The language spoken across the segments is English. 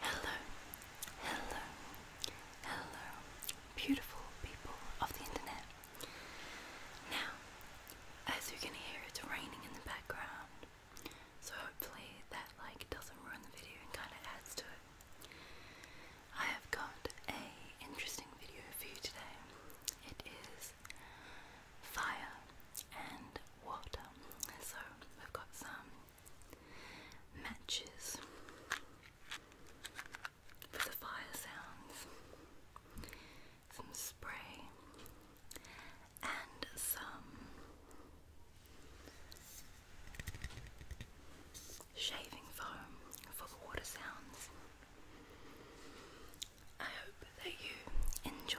Hello, hello, hello, beautiful people of the internet. Now, as you can hear, it's raining in the background, so hopefully that like doesn't ruin the video and kind of adds to it. I have got a interesting video for you today. It is fire and water. So we've got some matches for the fire sounds, some spray, and some shaving foam for the water sounds. I hope that you enjoy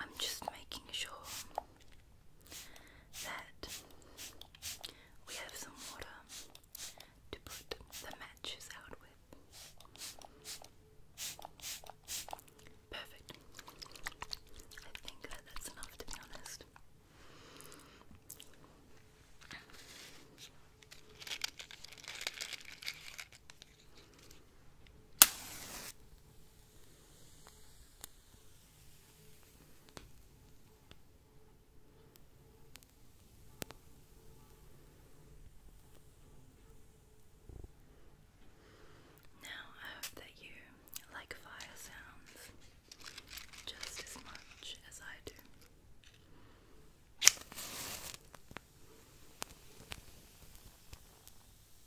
I'm just making sure that we have some water to put the matches out with. Perfect. I think that's enough to be honest. Now, I hope that you like fire sounds just as much as I do.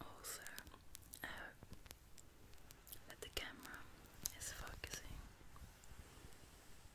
Also, I uh, the camera is focusing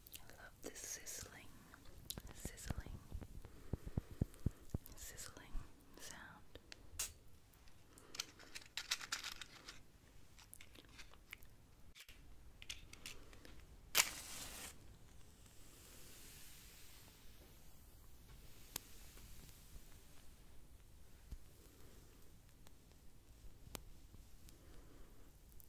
I love this sizzling, sizzling, sizzling sound.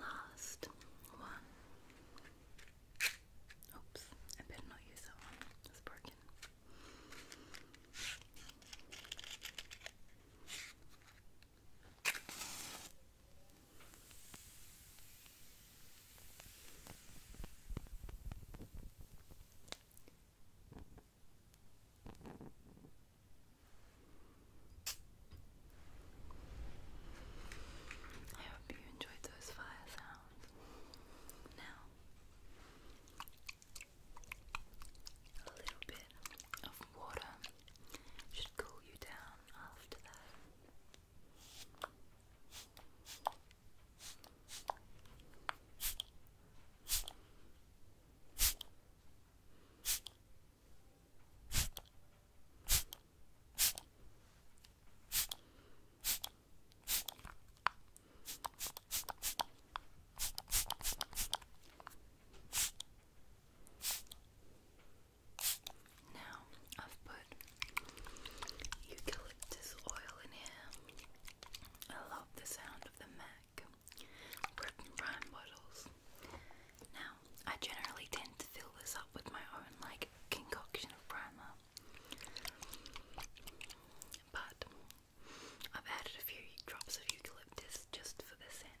Last one. Oops, I better not use that one. It's broken. I hope you enjoyed those fire sounds. Now, a little bit of water should cool you down after that. Now I've put eucalyptus oil in here. I love the sound of the mat back. bottles. Now, I generally tend to fill this up with my own like concoction of primer, but I've added a few drops of eucalyptus just for the scent.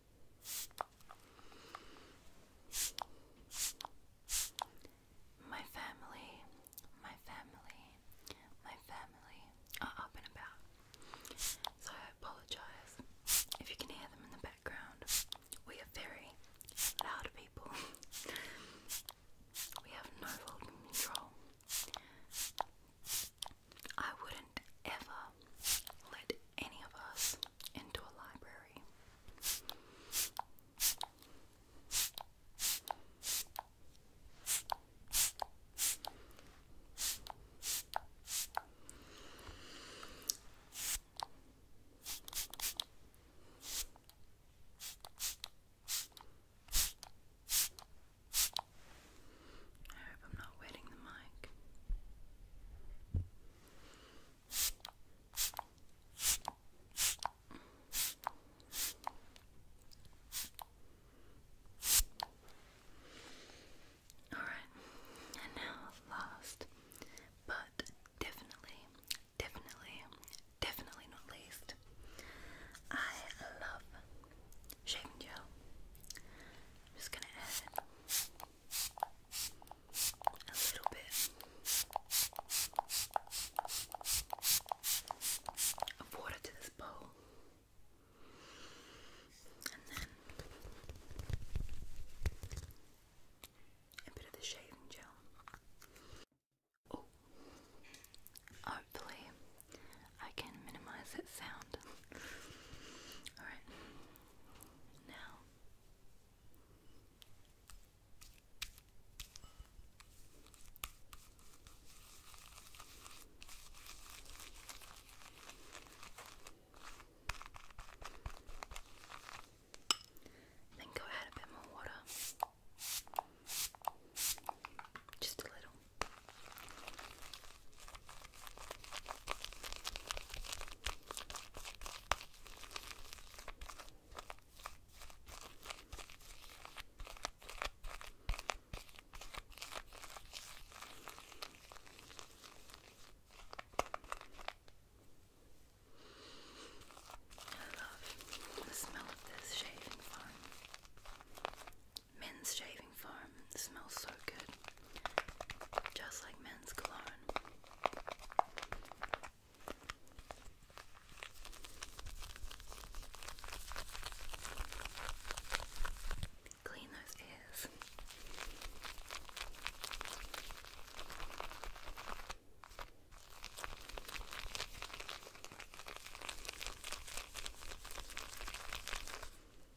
My family, my family, my family are up and about. So I apologise if you can hear them in the background. We are very loud people. we have no volume control. I wouldn't ever let any of us into a library. I hope I'm not wetting the mic. Alright, and now last, but definitely, definitely, definitely not least, I love shaving gel. I'm just gonna add a little bit of water to this bowl, and then a bit of the shaving gel. Oh, hopefully I can minimize that sound. Alright, now, then go add a bit more water. Just a little. I love the smell of this shaving foam. Men's shaving foam smells so good, just like men's cologne. Clean those ears.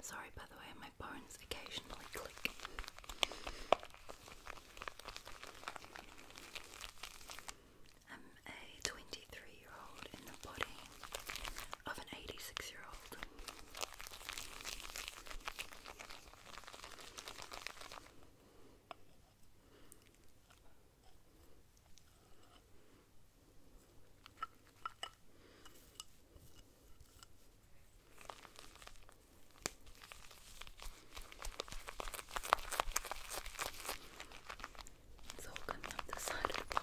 Sorry, by the way, my bones occasionally click. I'm a 23 year old in the body of an 86 year old. It's all coming up the side of the bowl.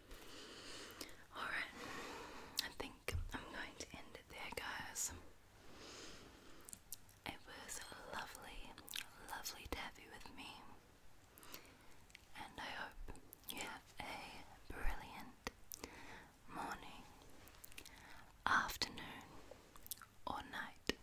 Alright, I think I'm going to end it there, guys. It was lovely, lovely to with me, and I hope you have a brilliant morning, afternoon, or night.